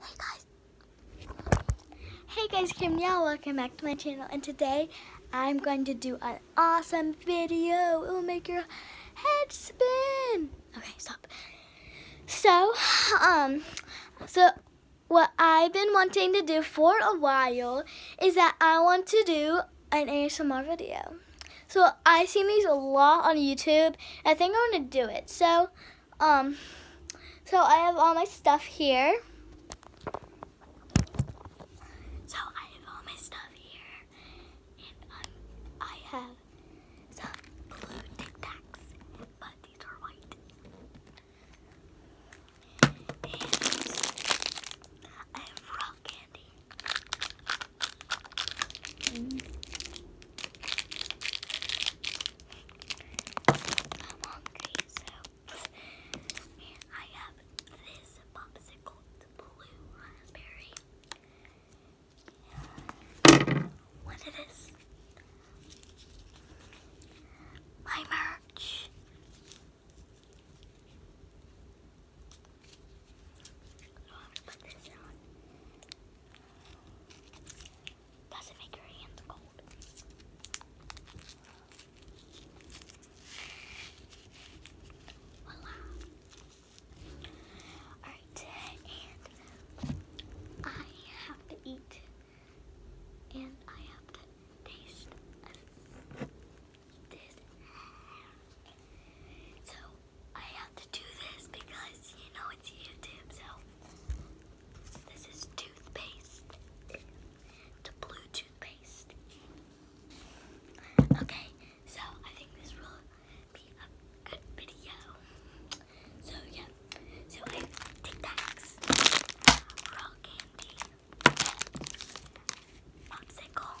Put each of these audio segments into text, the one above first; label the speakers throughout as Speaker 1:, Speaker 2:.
Speaker 1: Hey guys! Hey guys, Kim Yao, welcome back to my channel. And today, I'm going to do an awesome video. It will make your head spin. Okay, stop. So, um, so what I've been wanting to do for a while is that I want to do an ASMR video. So I see these a lot on YouTube. I think I want to do it. So um, so I have all my stuff here. So I have all my stuff here. And um, I have some blue Tic Tacs, but these are white. And I have rock candy. Mm. I'm hungry, so I have this popsicle, the blue raspberry. What it is? My merch. Does it make your hands cold? Voila. Alright, and I have to eat and I have to taste this. So I have to do this because you know it's YouTube, so this is toothpaste. The blue toothpaste. Okay, so I think this will be a good video. So yeah, so Tic Tacs, raw candy, popsicle,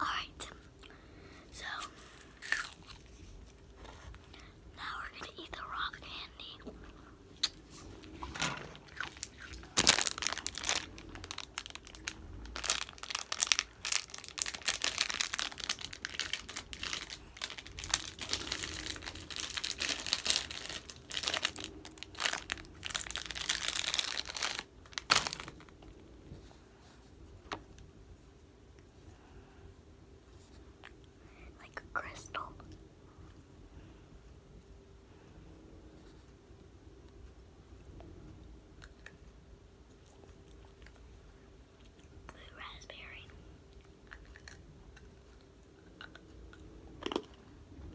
Speaker 1: All right, so now we're gonna eat the rock candy. Like a crystal. Blue raspberry.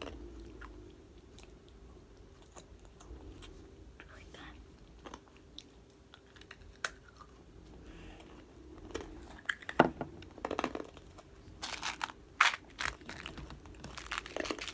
Speaker 1: really good.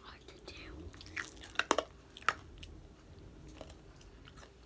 Speaker 1: Hard to do.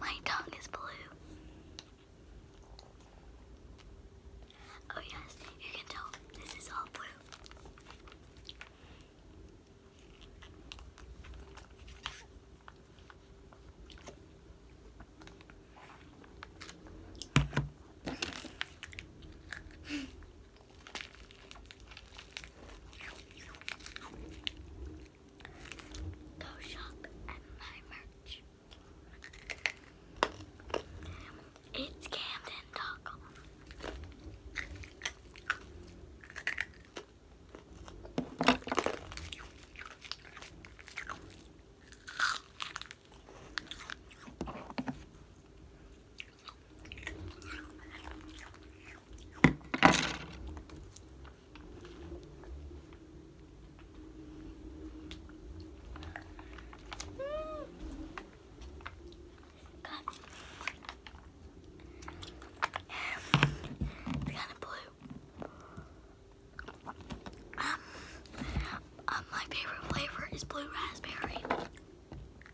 Speaker 1: My tongue is blue. Oh, yes, you can tell this is all blue. Go shop at my merch. It's Camden Taco. It's kind of blue. um, uh, my favorite flavor is blue raspberry.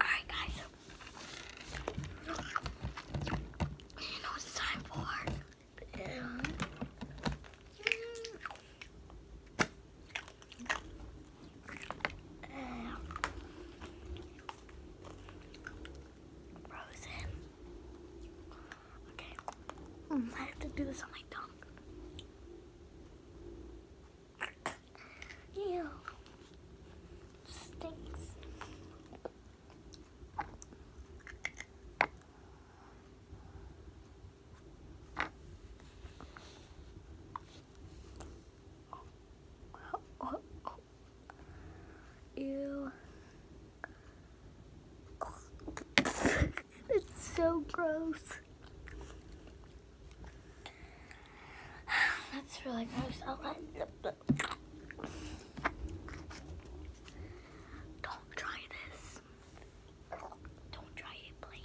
Speaker 1: Alright, guys. You know it's time for. Mm. Frozen. Okay. Mm, I have to do this on my tongue. Ew. Stinks. Ew. it's so gross. That's really gross. Don't try this. Don't try it, please.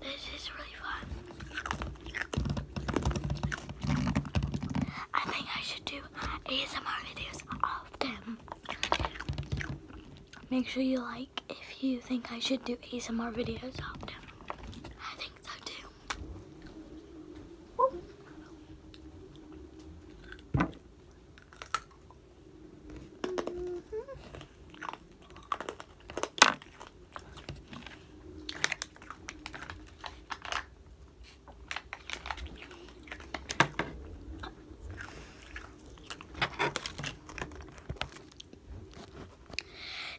Speaker 1: This is really fun. I think I should do ASMR videos of them. Make sure you like if you think I should do ASMR videos I think so too.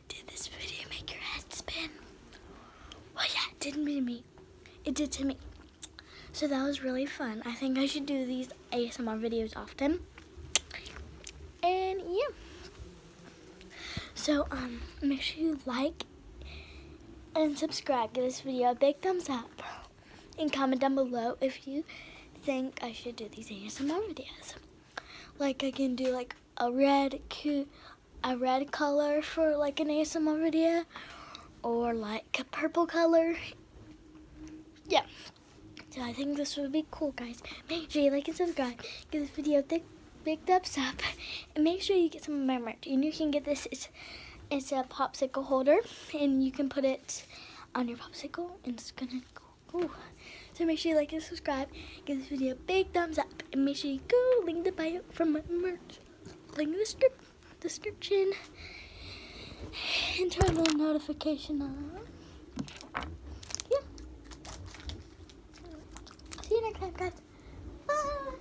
Speaker 1: Did this video make your head spin? Well, yeah, it did to me. It did to me. So that was really fun. I think I should do these ASMR videos often. And yeah. So um, make sure you like and subscribe. Give this video a big thumbs up. And comment down below if you think I should do these ASMR videos. Like I can do like a red cute a red color for like an ASMR video or like a purple color. Yeah. So I think this would be cool guys. Make sure you like and subscribe. Give this video a big, big thumbs up. And make sure you get some of my merch. And you can get this it's a popsicle holder and you can put it on your popsicle and it's gonna go. So make sure you like and subscribe. Give this video a big thumbs up. And make sure you go link the bio from my merch. Link in the description. And turn on notification on. Yeah. See you next time guys. Bye.